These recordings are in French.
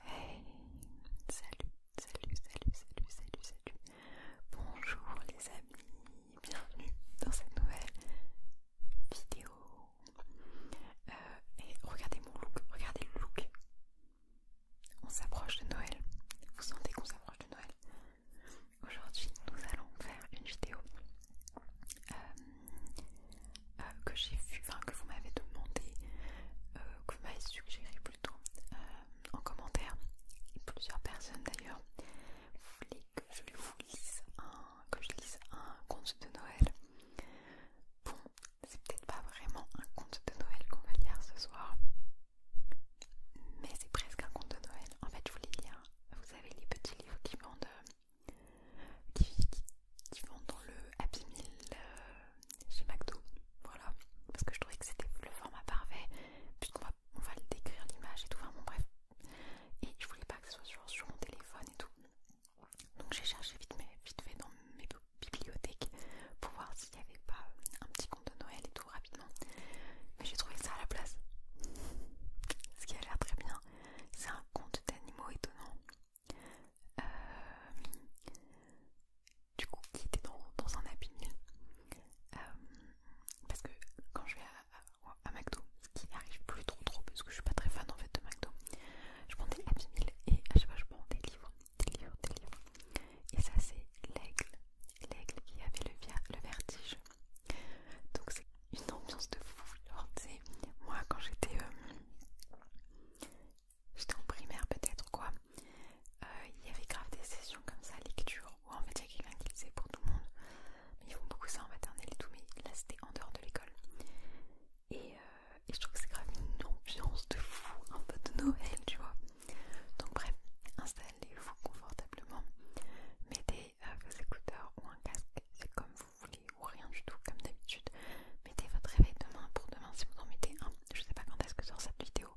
Hey, salut, salut, salut, salut, salut, salut. Bonjour les amis, bienvenue dans cette nouvelle vidéo. Euh, et regardez mon look, regardez le look. On s'approche de Noël. Vous sentez qu'on s'approche de Noël Aujourd'hui, nous allons faire une vidéo euh, euh, que j'ai vu, enfin que vous m'avez demandé, euh, que vous m'avez suggéré plutôt euh, en commentaire, plusieurs personnes d'ailleurs, voulaient que je vous lise un, je un conte de Noël. Bon, c'est peut-être pas vraiment un conte de Noël qu'on va lire ce soir, mais c'est presque un conte de Noël. En fait, je voulais lire, vous avez les petits livres qui vendent, qui qui vont dans le Happy Meal euh, chez McDo. Voilà, parce que je trouvais que c'était le format parfait, puisqu'on va, on va le décrire l'image et tout. Enfin bref. Et je voulais pas que ce soit sur, mon téléphone et tout. Donc j'ai cherché vite, mais vite fait dans mes bibliothèques pour voir s'il n'y avait pas euh, un petit compte de Noël et tout rapidement. Mais j'ai trouvé ça à la place. Ce qui a l'air très bien. C'est un compte d'animaux étonnant. Euh, du coup qui était dans, un abîme euh, parce que quand je vais à, McDo, ce qui n'arrive plus trop trop parce que je suis pas très fan en fait de McDo, je prends des Happy et à chaque fois je prends des livres, des livres, des livres et ça c'est l'aigle, l'aigle qui avait le, vertige donc c'est une ambiance de fou, moi quand j'étais euh, j'étais en primaire peut-être quoi, euh, il y avait grave des sessions comme ça, lecture, ou en média quelqu'un qui lisait pour tout le monde. Mais ils font beaucoup ça en maternelle et tout, mais là c'était en dehors de l'école. Et, euh, je trouve que c'est grave une ambiance de fou, un peu de Noël, tu vois. Donc bref, installez-vous confortablement, mettez euh, vos écouteurs ou un casque, c'est comme vous vous voulez ou rien du tout comme d'habitude mettez votre réveil demain pour demain si vous en mettez un je sais pas quand est-ce que sort cette vidéo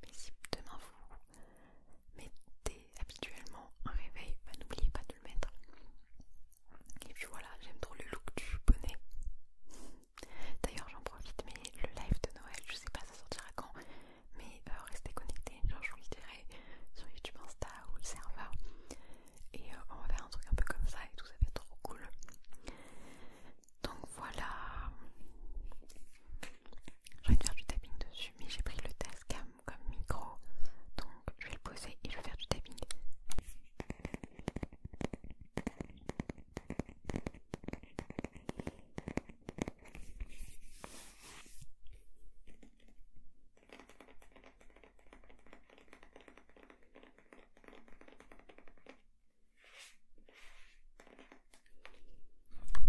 mais si demain vous mettez habituellement un réveil bah, n'oubliez pas de le mettre et puis voilà j'aime trop le look du bonnet d'ailleurs j'en profite mais le live de Noël je sais pas ça sortira quand mais euh, restez connectés genre je vous le dirai sur YouTube Insta ou le serveur et euh, on va faire un truc un peu comme ça et tout ça va être trop cool donc voilà j'ai envie de faire du tapping dessus mais j'ai pris le Tascam comme micro donc je vais le poser et je vais faire du tapping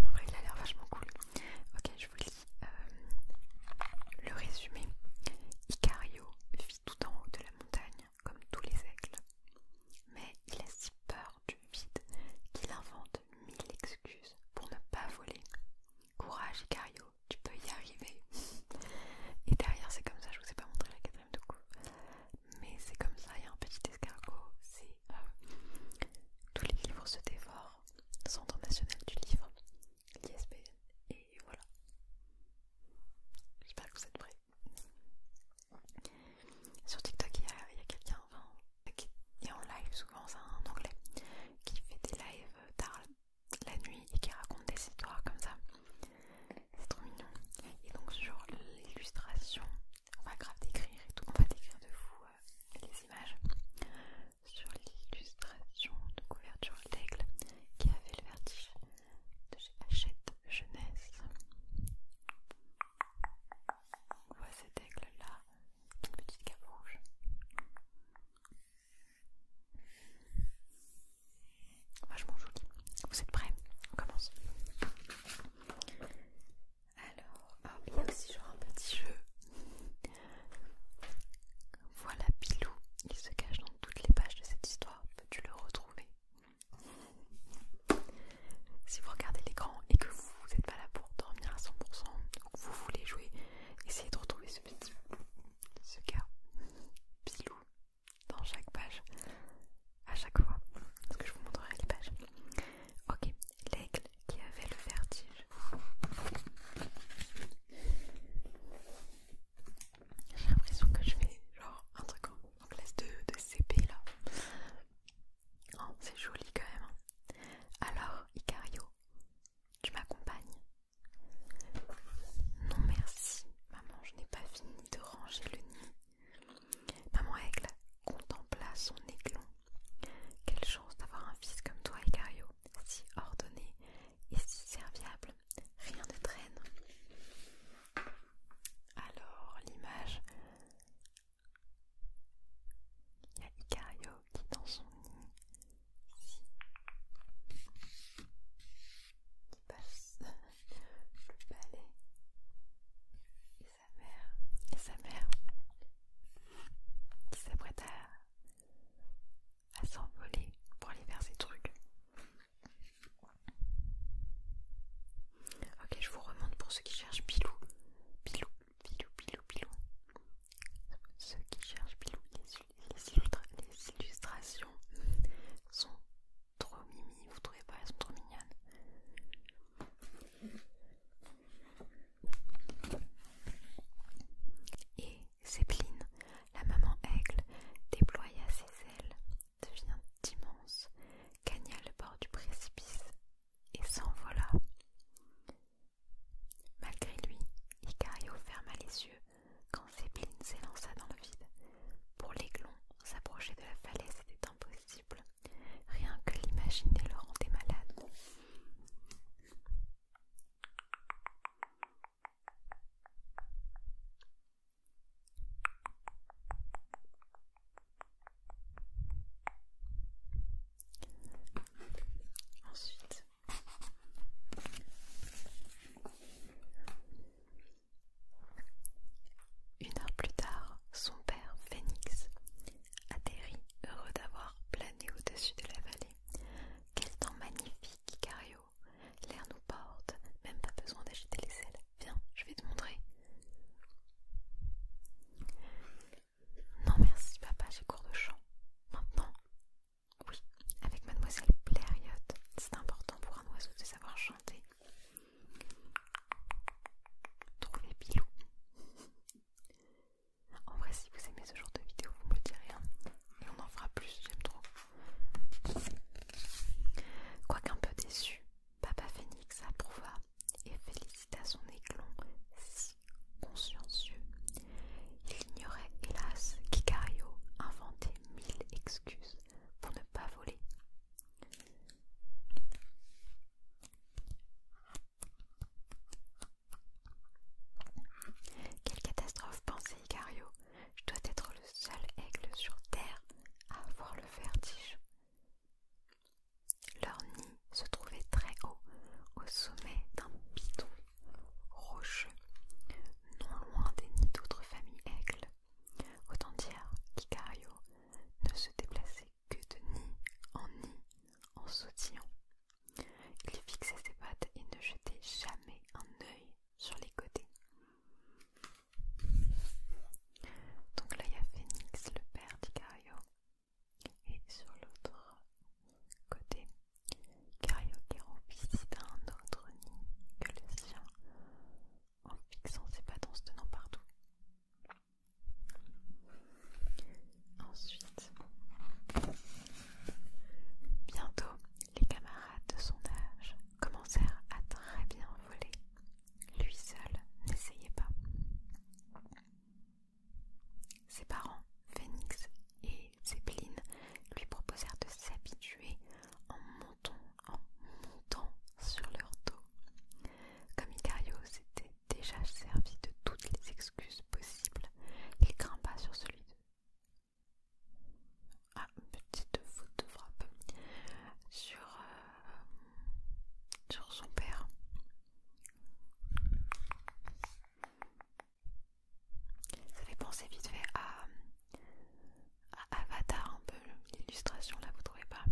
en vrai, il a l'air vachement cool. Ok, je vous lis euh, le résumé. Icario vit tout en haut de la montagne, comme tous les aigles. Mais il a si peur du vide qu'il invente mille excuses pour ne pas voler. Courage Icario, tu peux y arriver. Et derrière c'est comme ça, je vous ai pas montré la quatrième de coup. Mais c'est comme ça, il y a un petit escargot, c'est euh, tous les livres se dévorent, Centre national du livre, l'ISPN, et voilà. J'espère que vous êtes prêts. Sur TikTok, il y a, quelqu'un, enfin, qui est en live souvent, c'est un anglais, qui fait des lives tard euh, la nuit et qui raconte des histoires comme ça. C'est trop mignon. Et donc sur l'illustration, on va grave décrire et tout, on va décrire de vous euh, les images. Sur l'illustration de couverture d'aigle qui avait le vertige de chez Hachette Jeunesse. On voit cet aigle là, une petite cape rouge. Vachement joli. Vous êtes prêts On commence. Alors, il y a aussi genre un petit jeu. Voilà Bilou il se cache dans toutes les pages de cette histoire. Peux-tu le retrouver Si vous regardez l'écran et que vous n'êtes pas là pour dormir à 100% vous voulez jouer, essayez de retrouver ce petit ce cas pilou dans chaque page à chaque fois parce que je vous montrerai les pages ok l'aigle qui avait le vertige j'ai l'impression que je fais genre un truc en, classe de, de CP là oh, c'est joli quand même hein. alors Icario tu m'accompagnes non merci, maman, je n'ai pas fini de ranger le nid. Maman Aigle contempla son aiglon. Quelle chance d'avoir un fils comme toi, Icario, si ordonné et si serviable. Rien ne traîne. Alors, l'image. Il y a Icario qui, dans son nid, qui passe le palais, et sa mère et sa mère qui s'apprête à, à s'envoler pour aller vers ses trucs. Ok, je vous remonte pour ceux qui cherchent Pilou. Pilou, Pilou, Pilou, Pilou. Ceux qui cherchent Bilou les, illustrations sont trop mimi, vous trouvez pas Elles sont trop mignonnes. Et Zépline, la maman aigle, déploya ses ailes, devient immense, gagna le bord du précipice et s'envola. Malgré lui, Icario ferma les yeux quand Zeppelin s'élança dans le vide. Pour l'aiglon, s'approcher de la falaise était impossible. Rien que l'imaginer le rendait malade. Ensuite, une heure plus tard, son père, Phénix, atterrit, heureux d'avoir plané au-dessus de la vallée. Quel temps magnifique, Cario! L'air nous porte, même pas besoin d'agiter les ailes. Viens, je vais te montrer. Non merci papa, j'ai cours de chant. Maintenant Oui, avec mademoiselle Blériot. C'est important pour un oiseau de savoir chanter. Trouvez Pilou. En vrai, si vous aimez ce genre de vidéo, vous me le direz. Hein. Et on en fera plus, j'aime trop. Quoique un peu déçu, Papa Phoenix approuva et félicita son éclon si consciencieux. Il ignorait, hélas, qu'Icario inventait mille excuses pour ne pas voler. Quelle catastrophe, pensait Icario. Je dois être le seul aigle sur Terre à avoir le vertige. Leur nid se trouvait très haut, au sommet d'un piton rocheux, non loin des nids d'autres familles aigles. Autant dire qu'Icario ne se déplaçait que de nid en nid en sautillant. Il fixait ses pattes et ne jetait jamais un œil sur les côtés. Donc là, il y a Phénix, le père d'Icario, et sur l'autre côté, Karaoke visitait un autre nid que le sien en fixant ses patances en se tenant partout. Ensuite, bientôt, les camarades de son âge commencèrent à très bien voler. Lui seul n'essayait pas. Ses parents, Phénix et Zeppelin, lui proposèrent de s'habituer en montant, en montant sur leur dos. Comme Icario s'était déjà servi de toutes les excuses possibles, il grimpa sur celui de ah, petite faute de frappe sur son père. Ça fait penser vite fait à, Avatar un peu l'illustration là, vous trouvez pas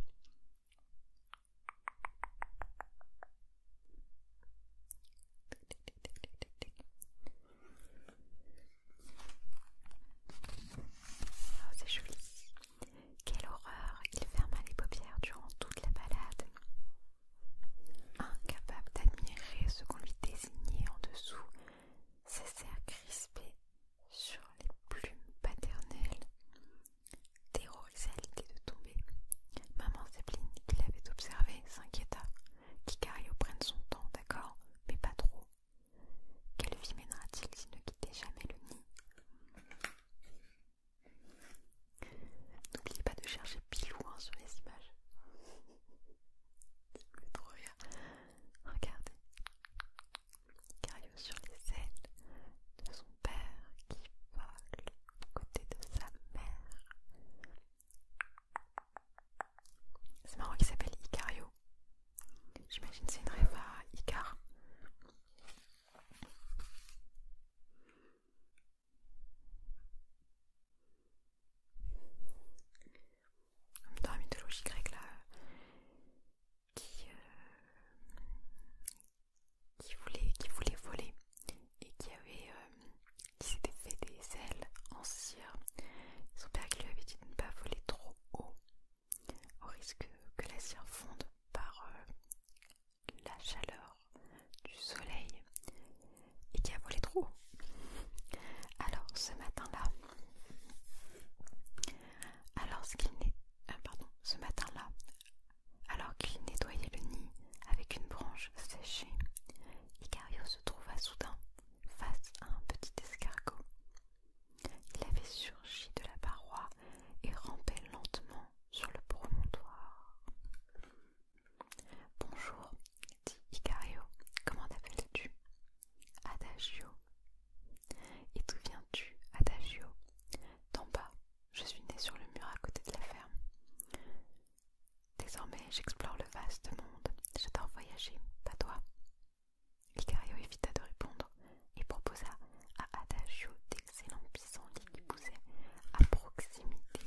ah, c'est joli. Quelle horreur Il ferma les paupières durant toute la balade. Incapable d'admirer ce qu'on lui désignait en dessous, ses serres crispées sur les plumes paternelles, Terrorisée à l'idée de tomber. Maman Zeppelin, qui l'avait observé, s'inquiéta. qu'Icario prenne son temps, d'accord, mais pas trop. Quelle vie mènera-t-il s'il ne quittait jamais le nid N'oubliez pas de chercher Pilou sur les images. trop Regardez. Icario sur les ailes de son père qui vole aux côtés de sa mère. C'est marrant qu'il s'appelle Icario. J'imagine c'est une rêve à Icar. Dans la mythologie grecque, là, qui, euh, qui, voulait, qui voulait voler et qui avait euh, qui s'était fait des ailes en cire. Son père qui lui avait dit de ne pas voler trop haut, au risque que la cire fonde par euh, la chaleur du soleil et qui a volé trop haut. Alors ce matin-là, alors ce qu'il euh, matin-là, alors qu'il nettoyait le nid avec une branche séchée, Icario se trouva soudain face à un petit escargot. Il avait surgi de la paroi et rampait lentement sur le promontoire. Bonjour, dit Icario, comment t'appelles-tu Adagio. Et d'où viens-tu, Adagio D'en bas, je suis né sur le mur à côté de la ferme. Désormais, j'explore le vaste monde. J'adore voyager, pas toi Icario évita de répondre et proposa à Adagio c'est pissenlits qui poussait à proximité.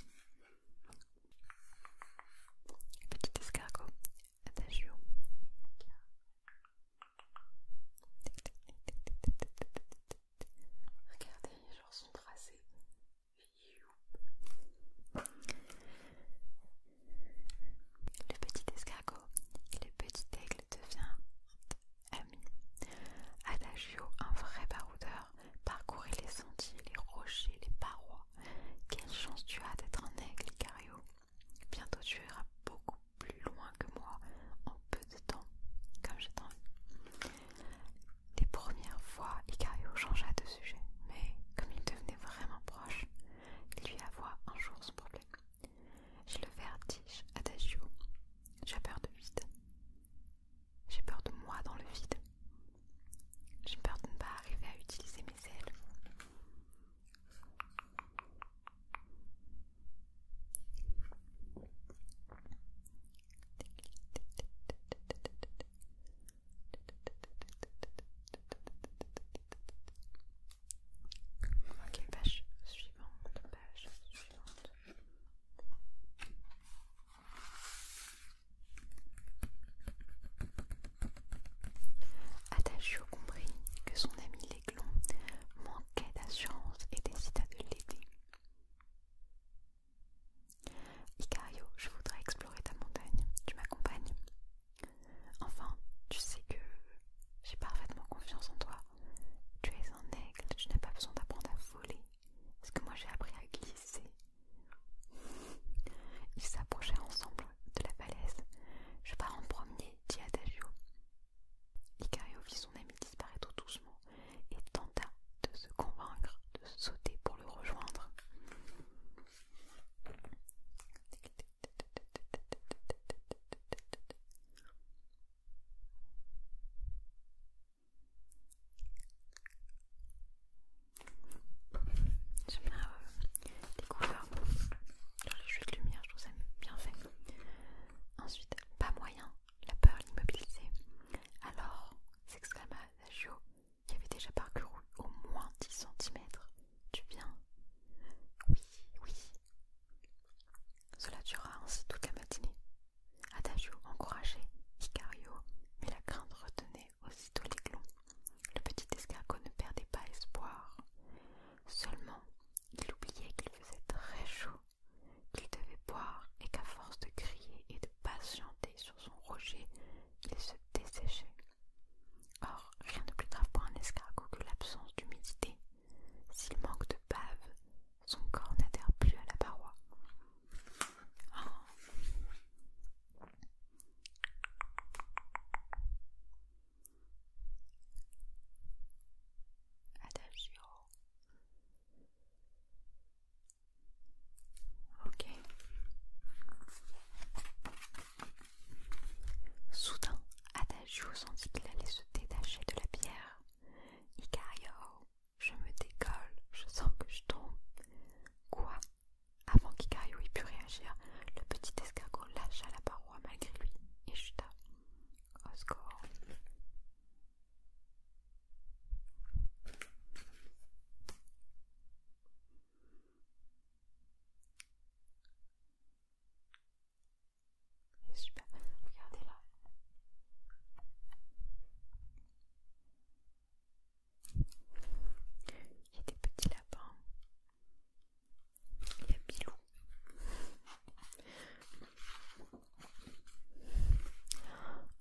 Petit escargot, adagio. Regardez, genre son sont tracés. Le petit escargot et le petit aigle devient ami. Adagio, un vrai baroudeur, parcourait les sentiers, les rochers, les parois. Quelle chance tu as d'être un aigle, Icario. Bientôt tu iras beaucoup plus loin que moi, en peu de temps, comme j'ai tant Les premières fois, Icario changea de sujet, mais comme il devenait vraiment proche, il lui avoua un jour son problème. J'ai le vertige, adagio. J'ai peur de vide. J'ai peur de moi dans le vide. J'ai peur de ne pas arriver à utiliser mes ailes. Ok, page suivante, page suivante. comprit que son ami Léglon manquait d'assurance et décida de l'aider. Icario, je voudrais explorer ta montagne. Tu m'accompagnes Enfin, tu sais que j'ai parfaitement confiance en toi. Tu es un aigle, tu n'as pas besoin d'apprendre à voler. Parce que moi j'ai appris à glisser Ils s'approchèrent ensemble de la falaise. Je pars en premier, dit Adagio. Icario vit son ami disparaître doucement et tenta de se convaincre de sauter pour le rejoindre. J'aime bien les couleurs, les jeux de lumière, je trouve ça bien fait. Ensuite, pas moyen, la peur l'immobilisait. Alors, s'exclama Adagio, qui avait déjà parcouru au moins 10 cm tu viens Oui, oui. Cela dura ainsi toute la matinée. Adagio encourageait Icario, mais la crainte retenait aussitôt l'aiglon. Le petit escargot ne perdait pas espoir. Seulement, il oubliait qu'il faisait très chaud, qu'il devait boire et qu'à force de crier et de patienter sur son rocher, il se desséchait. Or, rien de plus grave pour un escargot que l'absence d'humidité. S'il manque de bave, son corps n'adhère plus à la paroi. Soudain, Adagio sentit qu'il allait se détacher de la pierre. Icario, je me décolle, je sens que je tombe. Quoi Avant qu'Icario ait pu réagir, le petit escargot lâcha la paroi malgré lui et chuta. Au super, regardez là. Il y a des petits lapins. Il y a Bilou.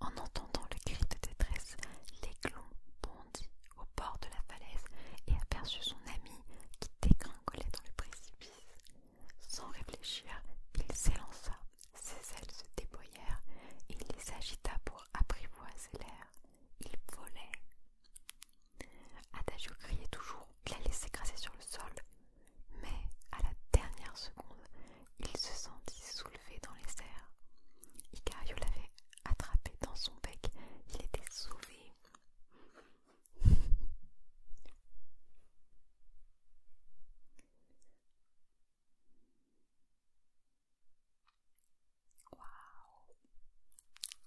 En entendant le cri de détresse, l'aiglon bondit au bord de la falaise et aperçut son ami qui dégringolait dans le précipice. Sans réfléchir, il s'élança, ses ailes se déployèrent il les agita pour apprivoiser l'air. Il volait. Adagio criait toujours, il allait s'écraser sur le sol. Mais à la dernière seconde, il se sentit soulevé dans les airs. Icario l'avait attrapé dans son bec, il était sauvé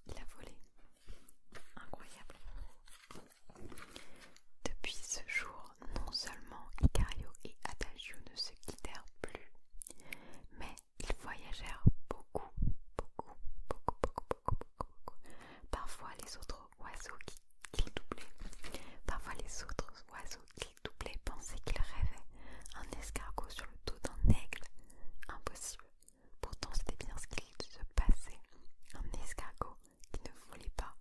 il a volé, incroyable. Depuis ce jour, non seulement Icario et Adagio ne se quittèrent plus, mais ils voyagèrent beaucoup, beaucoup, beaucoup, beaucoup, beaucoup, beaucoup, beaucoup. Parfois les autres oiseaux qu'ils doublaient, parfois les autres oiseaux qui doublaient pensaient qu'ils rêvaient. Un escargot sur le dos d'un aigle, impossible. Pourtant c'était bien ce qui se passait. Un escargot qui ne volait pas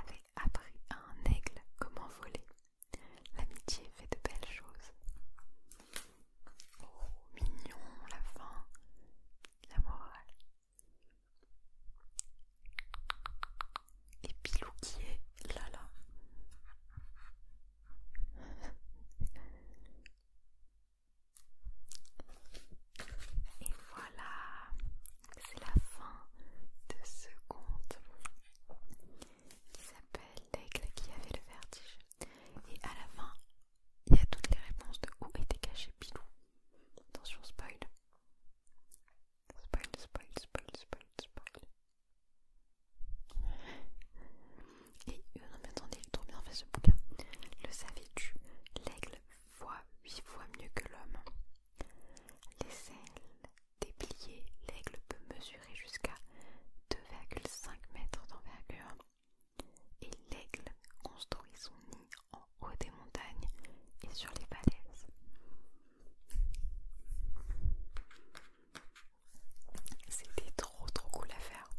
avait appris à un aigle comment voler. L'amitié fait de belles choses. Oh, mignon, la fin, la morale. Et Pilou qui est là là. Et voilà, c'est la fin de ce conte qui s'appelle L'aigle qui avait le vertige. Et à la fin, il y a toutes les réponses de où était caché Pilou. Attention, spoil. Spoil, spoil, spoil, spoil, spoil. Et euh, non, mais attendez, il est trop bien fait ce bouquin. Le savait tu L'aigle voit huit fois mieux que l'homme. Les ailes dépliées, l'aigle peut mesurer jusqu'à 2,5 mètres d'envergure. Et l'aigle construit son nid en haut des montagnes et sur les falaises. C'était trop trop cool à faire.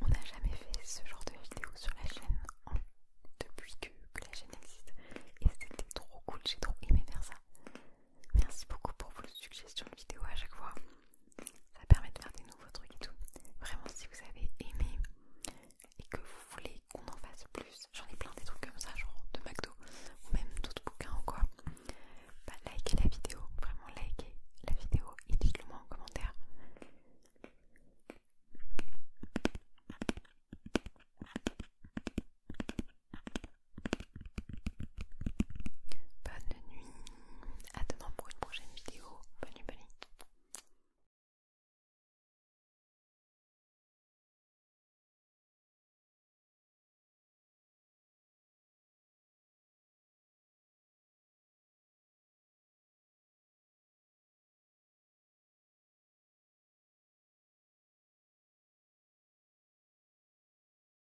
On n'a jamais fait ce genre de vidéo sur la chaîne hein, depuis que la chaîne existe. Et c'était trop cool, j'ai trop aimé faire ça. Merci beaucoup pour vos suggestions de vidéos à chaque fois. Ça permet de faire des nouveaux trucs et tout. Vraiment, si vous avez aimé et que vous voulez qu'on en fasse plus, j'en ai plein des trucs comme ça, genre de McDo ou même d'autres bouquins ou quoi, bah likez la vidéo, vraiment likez la vidéo et dites-le moi en commentaire. Bonne nuit. À demain pour une prochaine vidéo. Bonne nuit, bonne